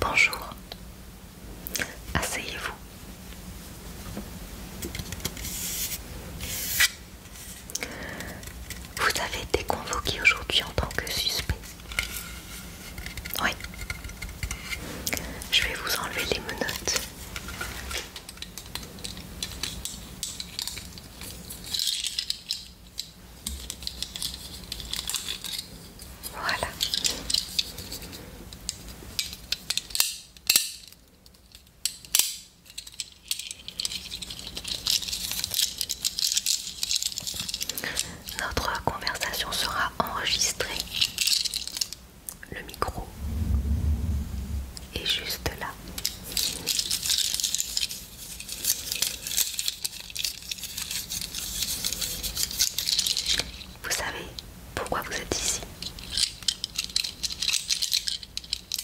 Bonjour, asseyez-vous. Vous avez été convoqué aujourd'hui en tant que suspect. Oui. Je vais vous enlever les menottes. Voilà. Notre conversation sera enregistrée. Le micro est juste là. Vous savez pourquoi vous êtes ici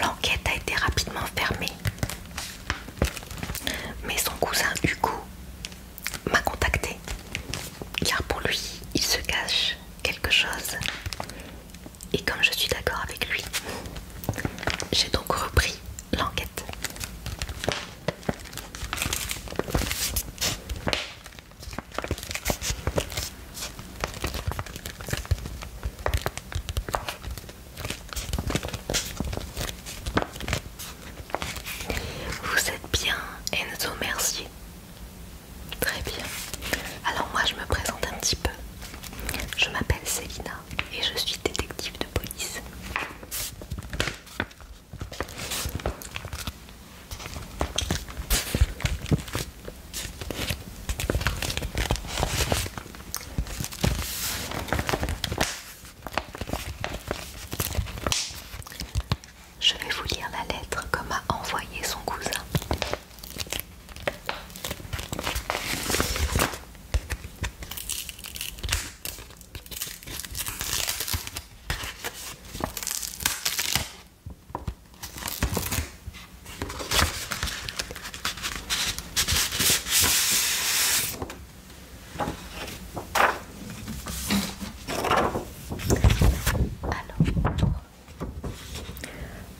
L'enquête a été rapidement fermée, mais son cousin Hugo m'a contacté, car pour lui, il se cache quelque chose. Et comme je suis d'accord avec lui, j'ai donc repris l'enquête. Vous êtes bien, Enzo Mercier. Très bien. Alors moi je me présente un petit peu. Je m'appelle Selina et je suis détective de police. Je vais vous lire la lettre que m'a envoyé son cousin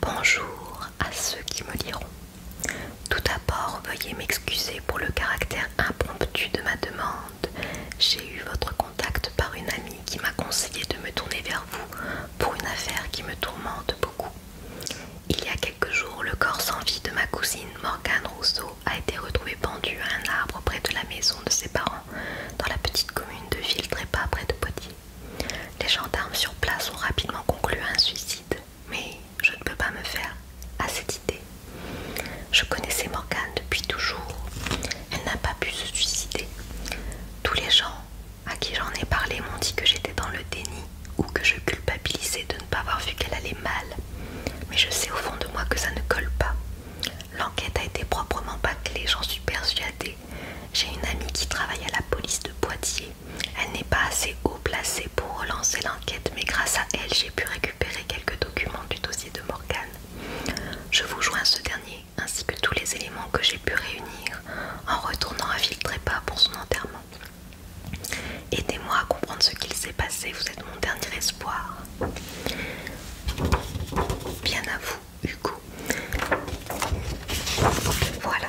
bonjour à ceux qui me liront. Tout d'abord, veuillez m'excuser pour le caractère impromptu de ma demande. J'ai eu votre contact par une amie qui m'a conseillé de me tourner vers vous pour une affaire qui me tourmente beaucoup. Il y a quelques jours, le corps sans vie de ma cousine Morgane Rousseau a été retrouvé pendu à un arbre près de la maison de ses parents, dans la petite commune de Viltrépas près de Potier. Les gendarmes sur place ont rapidement conclu un suicide, mais je ne peux pas me faire à cette idée je connaissais Morgane depuis toujours. Elle n'a pas pu se suicider. Tous les gens à qui j'en ai parlé m'ont dit que j'étais dans le déni ou que je culpabilisais de ne pas avoir vu qu'elle allait mal. Mais je sais au fond de moi que ça ne colle pas. L'enquête a été proprement bâclée, j'en suis persuadée. J'ai une amie qui travaille à la police de Poitiers. Elle n'est pas assez haut placée pour relancer l'enquête, mais grâce à elle, j'ai pu récupérer quelques documents du dossier de Morgane. Je vous joins ce dernier ainsi que tous les éléments que j'ai pu réunir en retournant à Ville-Trépas pour son enterrement. Aidez-moi à comprendre ce qu'il s'est passé, vous êtes mon dernier espoir. Bien à vous, Hugo. Voilà.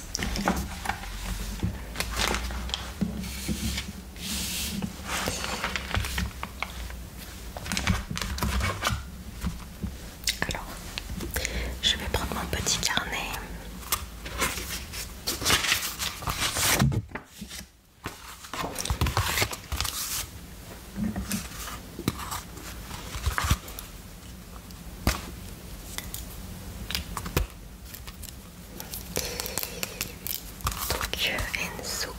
Alors, je vais prendre mon petit carnet. Donc euh, Enzo.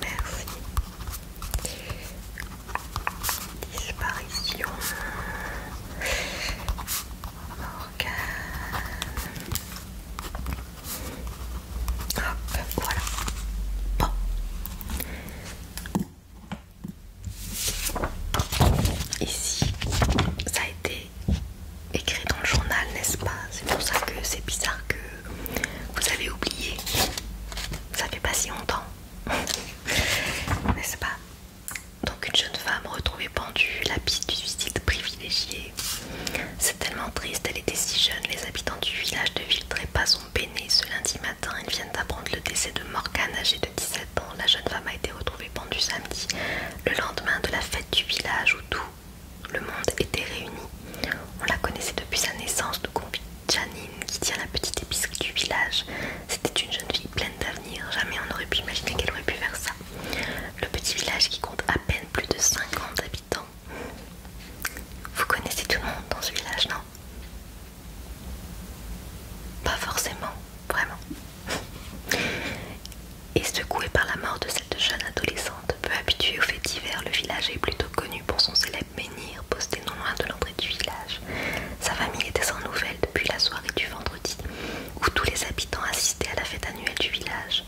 Merci. Disparition. Morgane. voilà. Bon. Ici, ça a été écrit dans le journal, n'est-ce pas C'est pour ça que c'est bizarre que vous avez oublié. Ça fait pas si longtemps, n'est-ce pas Donc une jeune femme retrouvée pendue, la piste du suicide privilégié. C'est tellement triste, elle était si jeune. Les habitants du village ne vivraient pas son ce lundi matin. Ils viennent d'apprendre le décès de Morgane, âgée de 17 ans. La jeune femme a été retrouvée pendue samedi, le lendemain de la fête du village où tout le monde était réuni. On la connaissait depuis sa naissance, nous convie Janine, qui tient la petite épicerie du village. C'était une jeune fille pleine d'avenir, jamais on n'aurait pu imaginer qu'elle aurait pu faire ça. Le petit village qui compte à peine plus de 50 habitants. Vous connaissez tout le monde dans ce village, non pas forcément, vraiment. Et secoué par la mort de cette jeune adolescente, peu habituée aux fêtes d'hiver, le village est plutôt connu pour son célèbre menhir posté non loin de l'entrée du village. Sa famille était sans nouvelles depuis la soirée du vendredi, où tous les habitants assistaient à la fête annuelle du village.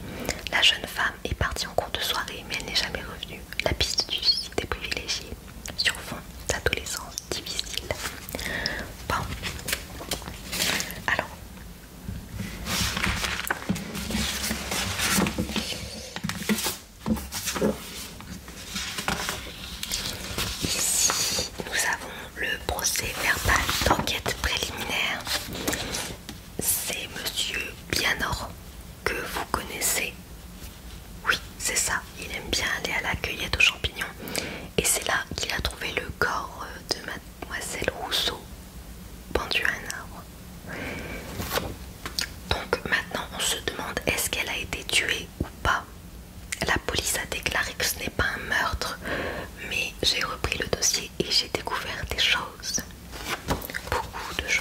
La jeune femme est partie en cours de soirée, mais elle n'est jamais revenue. La piste du site est privilégiée sur fond d'adolescence difficile. Bon, alors, ici nous avons le procès verbal d'enquête préliminaire. C'est monsieur Bienor que vous connaissez. Oui, c'est ça, il aime bien aller à la cueillette aux champignons. Et c'est là qu'il a trouvé le corps de mademoiselle Rousseau, pendu à un arbre. Donc maintenant on se demande est-ce qu'elle a été tuée ou pas. La police a déclaré que ce n'est pas un meurtre, mais j'ai repris le dossier et j'ai découvert des choses. Beaucoup de choses.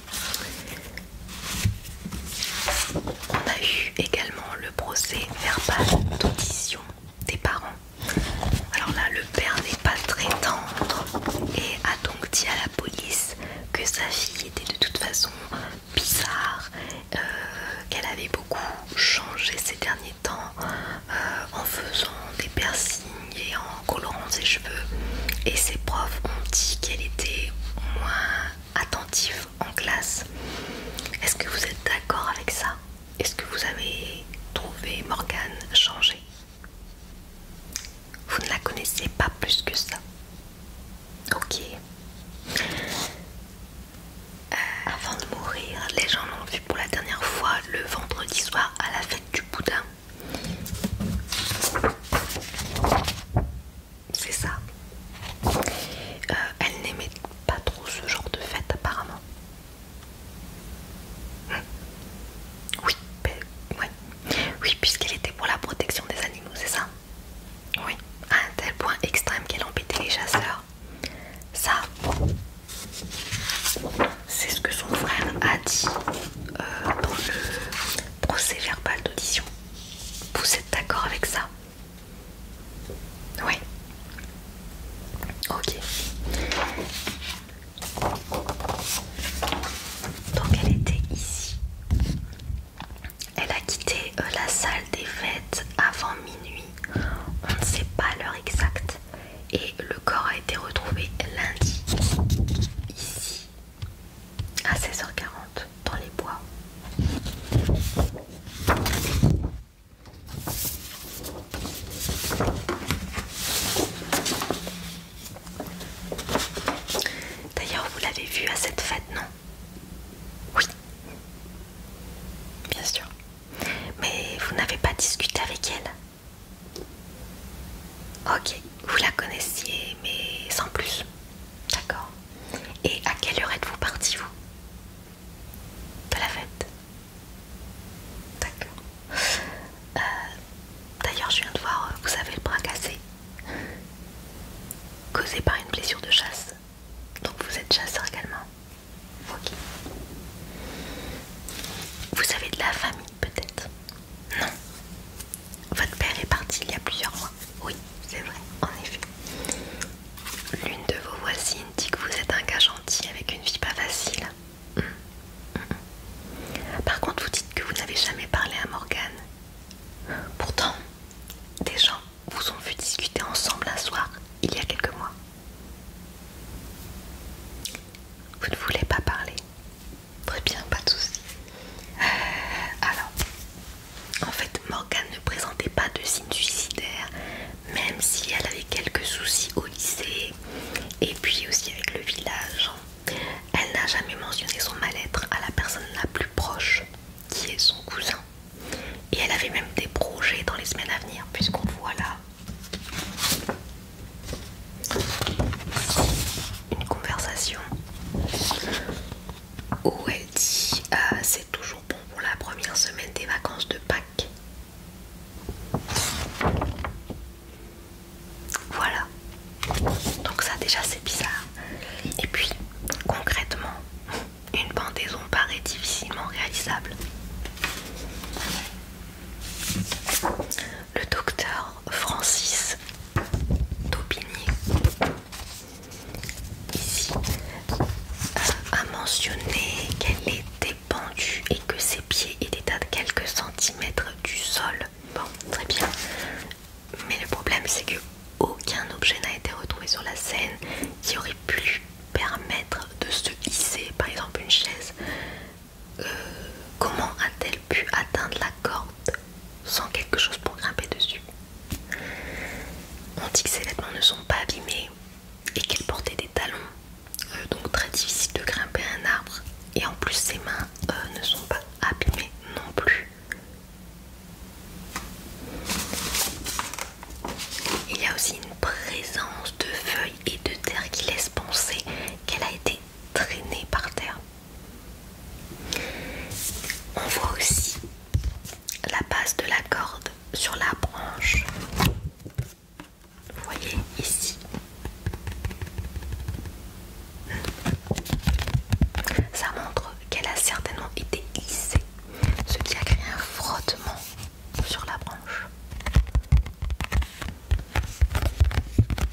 On a eu également le procès verbal d'audition des parents. Alors là, le père n'est pas très tendre et a donc dit à la police que sa fille était de toute façon bizarre, euh, qu'elle avait beaucoup changé ces derniers temps euh, en faisant des piercings et en colorant ses cheveux. Et ses profs ont dit qu'elle était moins attentif en classe. Est-ce que vous êtes d'accord avec ça Est-ce que vous avez trouvé Morgane changée Vous ne la connaissez pas plus que ça. Ok. Euh, avant de mourir, les gens l'ont vu pour la dernière fois le vendredi soir à la fête du boudin c'est ça. Euh, elle n'aimait pas trop ce genre de fête apparemment. Hmm. Oui, oui puisqu'elle était pour la protection des animaux, c'est ça Oui, à un tel point extrême qu'elle embêtait les chasseurs. Ça, c'est ce que son frère a dit euh, dans le procès verbal d'audition. Vous êtes d'accord avec ça Oui. Ok. Donc elle était ici. Elle a quitté euh, la salle des fêtes avant minuit. On ne sait pas l'heure exacte. Et le corps a été retrouvé lundi. Ici, à 16h40 dans les bois. D'ailleurs, vous l'avez vue à cette fête, non Oui, bien sûr. Mais vous n'avez pas discuté avec elle Ok, vous la connaissiez, mais sans plus. D'accord. Et à quelle heure êtes-vous parti, vous De la fête D'accord. Euh, d'ailleurs, je viens de voir, vous avez le bras cassé. Causé par une blessure de chasse. Donc vous êtes chasseur également. Ok. Vous avez de la famille peut-être Non. Votre père est parti il y a plusieurs mois. Oui, c'est vrai, en effet. L'une de vos voisines dit que vous êtes un gars gentil avec une vie pas facile. Hum, hum, hum. Par contre, vous dites que vous n'avez jamais parlé à Morgane. Pourtant, des gens vous ont vu discuter ensemble un soir, il y a quelques mois. Vous ne voulez pas parler. Très bien, pas de soucis. Euh, alors, en fait, Morgane ne présentait pas de signes suicidaires, même si elle avait quelques soucis au lycée et puis aussi avec le village. Elle n'a jamais mentionné son mal-être à la personne la plus proche, qui est son cousin. Et elle avait même des projets dans les semaines à venir, puisqu'on voit là une conversation où elle dit euh, c'est toujours bon pour la première semaine des vacances de Pâques. Voilà. Donc ça déjà c'est bizarre. Et puis concrètement, une pendaison paraît difficilement réalisable. Le docteur Francis d'Aubigny ici a euh, mentionné qu'elle était pendue et que ses pieds étaient à quelques centimètres du sol. Bon, très bien. Mais le problème c'est que aucun objet n'a été retrouvé sur la scène qui aurait pu permettre de se hisser, par exemple une chaise. Euh, comment a-t-elle pu atteindre la corde sans quelque chose pour grimper dessus. On dit que ses vêtements ne sont pas abîmés et qu'elle portait des talons, euh, donc très difficile de grimper un arbre. Et en plus, ses mains euh, ne sont pas abîmées non plus. Il y a aussi une présence de feuilles et de terre qui laisse penser qu'elle a été traînée par terre on voit aussi la base de la corde sur la branche. Vous voyez ici. Ça montre qu'elle a certainement été lissée, ce qui a créé un frottement sur la branche.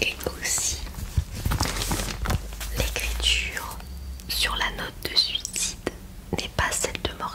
Et aussi l'écriture sur la note de suicide n'est pas celle de Morgane.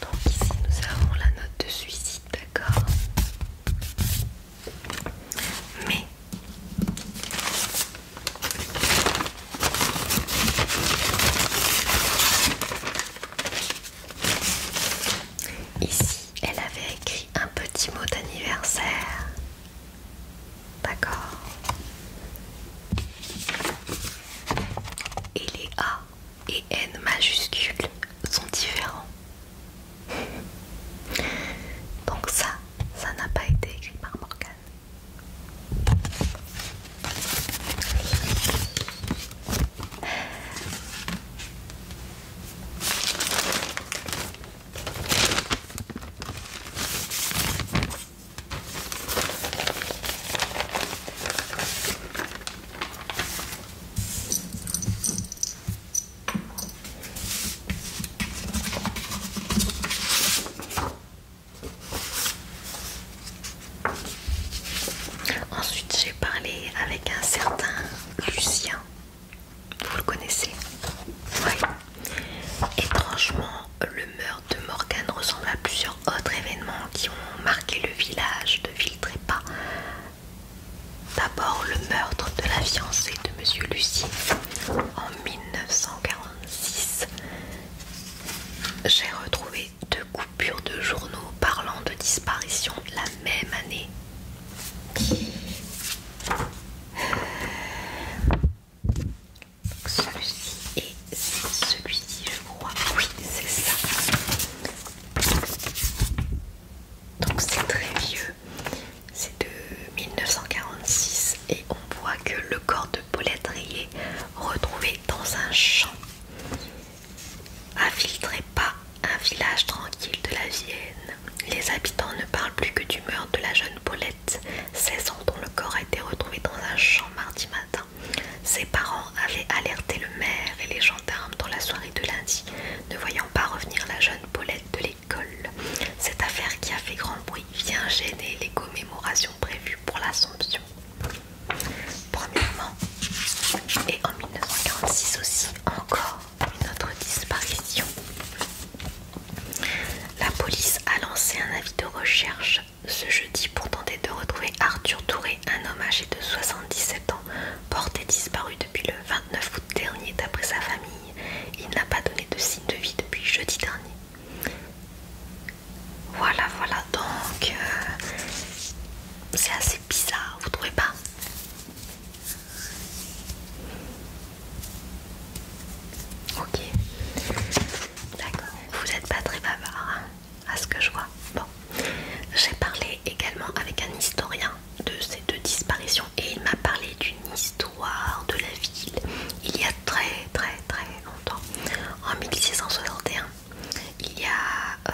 Donc ici nous avons la note de suicide, d'accord Mais ici elle avait écrit un petit mot d'anniversaire. D'accord. Et les A et N majuscule sont différents. Donc ça, ça n'a pas été écrit par Morgane. Ensuite, j'ai parlé avec un certain Lucien. Vous le connaissez Oui. Étrangement, le meurtre de Morgan ressemble à plusieurs autres événements qui ont marqué le village de Ville-Trépas D'abord le meurtre de la fiancée de Monsieur Lucie en 1946. J'ai retrouvé deux coupures de journaux parlant de disparition la même année. Celui-ci celui-ci, je crois. Oui, c'est ça donc c'est très vieux, c'est de 1946 et on voit que le corps de Paulette Rayet retrouvé dans un champ infiltrait pas un village tranquille de la Vienne. Les habitants ne parlent plus que du meurtre de la jeune Paulette, 16 ans dont le corps a été retrouvé dans un champ mardi matin. Ses parents avaient alerté le maire et les gendarmes dans la soirée de lundi ne voyant pas revenir la jeune Paulette de l'école. Cette affaire qui a fait grand bruit vient gêner les commémorations prévues pour l'Assomption. Premièrement, et en 1946 aussi, encore une autre disparition. La police a lancé un avis de recherche ce jeudi pour tenter de retrouver Arthur Touré, un homme âgé de 77 ans, porté disparu depuis le 29 août dernier d'après sa famille. Il n'a pas donné de signe de vie depuis jeudi dernier. Voilà, voilà, donc euh, c'est assez bizarre, vous trouvez pas Ok, d'accord, vous n'êtes pas très bavard. Hein à ce que je vois. Bon, j'ai parlé également avec un historien de ces deux disparitions et il m'a parlé d'une histoire de la ville il y a très très très longtemps, en 1661. Il y a euh,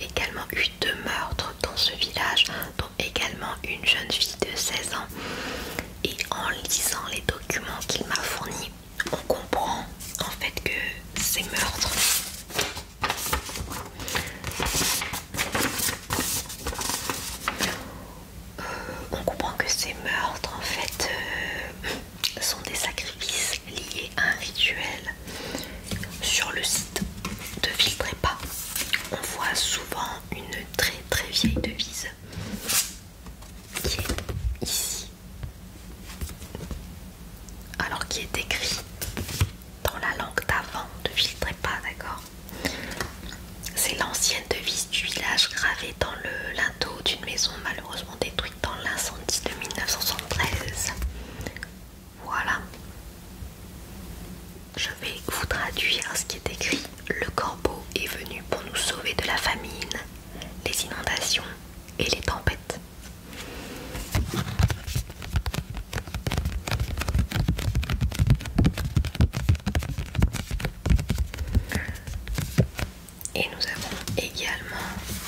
également eu deux meurtres dans ce village, dont également une jeune fille de 16 ans. Et en lisant les documents qu'il m'a fournis, on comprend en fait que ces meurtres euh, on comprend que ces meurtres en fait euh, sont des sacrifices liés à un rituel. Sur le site de pas. on voit souvent une très très vieille devise qui est ici, alors qui est écrite dans la langue d'avant, ne filtrez pas, d'accord C'est l'ancienne devise du village gravée dans le linteau d'une maison malheureusement détruite dans l'incendie de 1973. Voilà. Je vais vous traduire ce qui est écrit. Le corbeau est venu pour nous sauver de la famine, les inondations et les tempêtes. Et nous avons également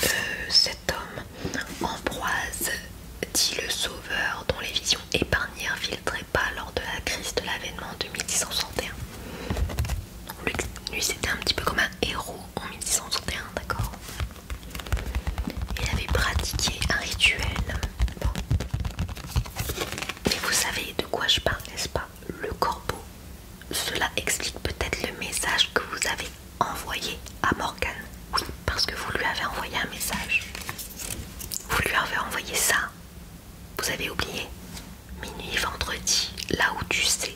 euh, cet homme, Ambroise, dit le sauveur, dont les visions épargnées filtraient pas lors de la crise de l'avènement de 1661. Lui, lui c'était un petit peu comme un héros en 1661, d'accord il avait pratiqué un rituel. Mais vous savez de quoi je parle, n'est-ce pas Le corbeau. Cela explique peut-être le message que vous avez envoyé à Morgan Oui, parce que vous lui avez envoyé un message. Vous lui avez envoyé ça. Vous avez oublié Minuit vendredi, là où tu sais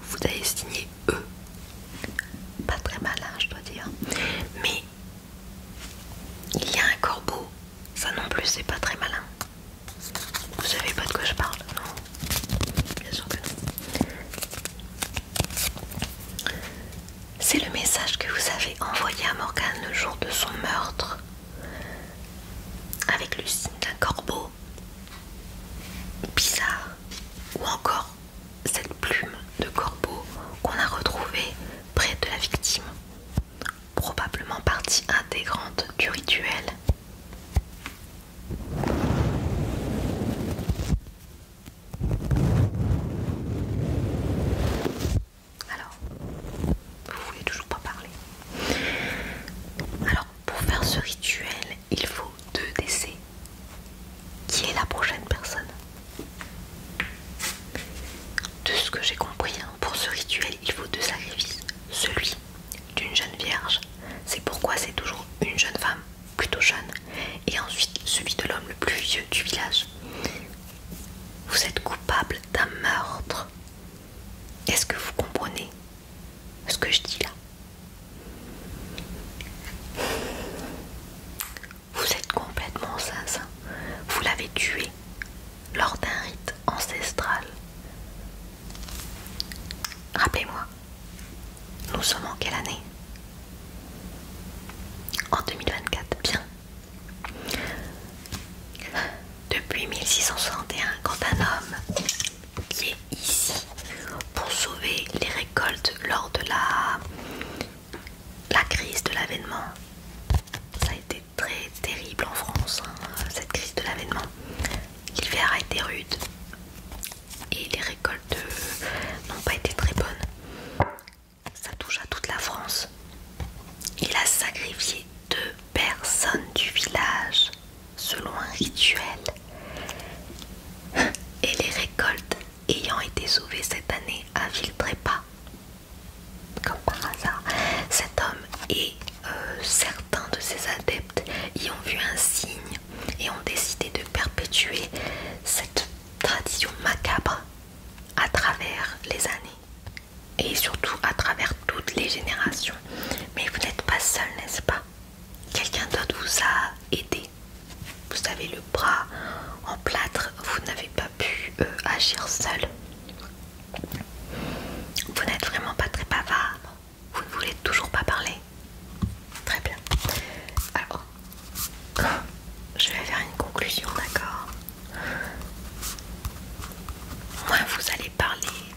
vous avez signé eux, Pas très malin, je dois dire. Mais il y a un corbeau. Ça non plus, c'est pas très malin. Vous savez pas de quoi je parle, non Bien sûr que non. C'est le message que vous avez envoyé à Morgane le jour de son meurtre. Avec le signe d'un corbeau. Bizarre. Ou encore cette plume de corbeau qu'on a retrouvée près de la victime, probablement partie intégrante du rituel. Alors, vous voulez toujours pas parler. Alors, pour faire ce rituel, il faut deux décès, qui est la prochaine personne De ce que j'ai compris, hein, pour ce rituel, il faut deux sacrifices. Celui d'une jeune vierge, c'est pourquoi c'est toujours une jeune femme, plutôt jeune, et ensuite celui de l'homme le plus vieux du village. Vous êtes coupable d'un meurtre. Est-ce que vous comprenez ce que je dis là vous êtes complètement sincère Vous l'avez tué lors d'un rite ancestral. Rappelez-moi, nous sommes en quelle année En 2024, bien. Depuis 1661, quand un homme qui est ici pour sauver les récoltes lors de la, la crise de l'avènement. Ça a été très terrible en France, hein, cette crise de l'avènement. L'hiver a été rude et les récoltes euh, n'ont pas été très bonnes. Ça touche à toute la France. Il a sacrifié deux personnes du village selon un rituel et les récoltes ayant été sauvées cette année à pas, comme par hasard, cet homme et euh, certains de ses adeptes y ont vu un signe et ont décidé de perpétuer cette tradition macabre à travers les années et surtout à travers toutes les générations. Mais vous n'êtes pas seul, n'est-ce pas quelqu'un d'autre vous a aidé. Vous avez le bras en plâtre, vous n'avez pas pu euh, agir seul. Vous n'êtes vraiment pas très bavard. Vous ne voulez toujours pas parler. Très bien. Alors, je vais faire une conclusion, d'accord Moins vous allez parler,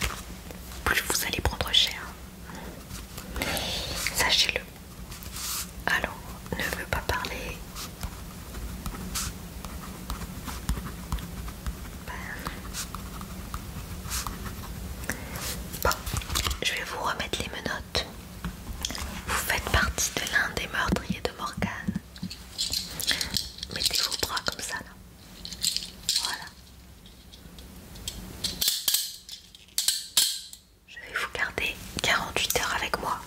plus vous allez prendre cher. Sachez-le. Alors, ne veut pas parler. Bon, je vais vous remettre les menottes. Vous faites partie de l'un des meurtriers de Morgane. Mettez vos bras comme ça là. Voilà. Je vais vous garder 48 heures avec moi.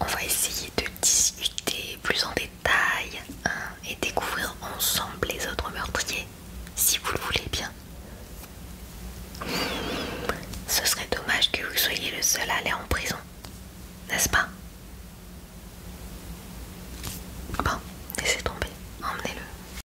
On va essayer de discuter plus en détail hein, et découvrir ensemble les autres meurtriers, si vous le voulez bien. Ce serait dommage que vous soyez le seul à aller en prison, n'est-ce pas Bon, laissez tomber, emmenez-le.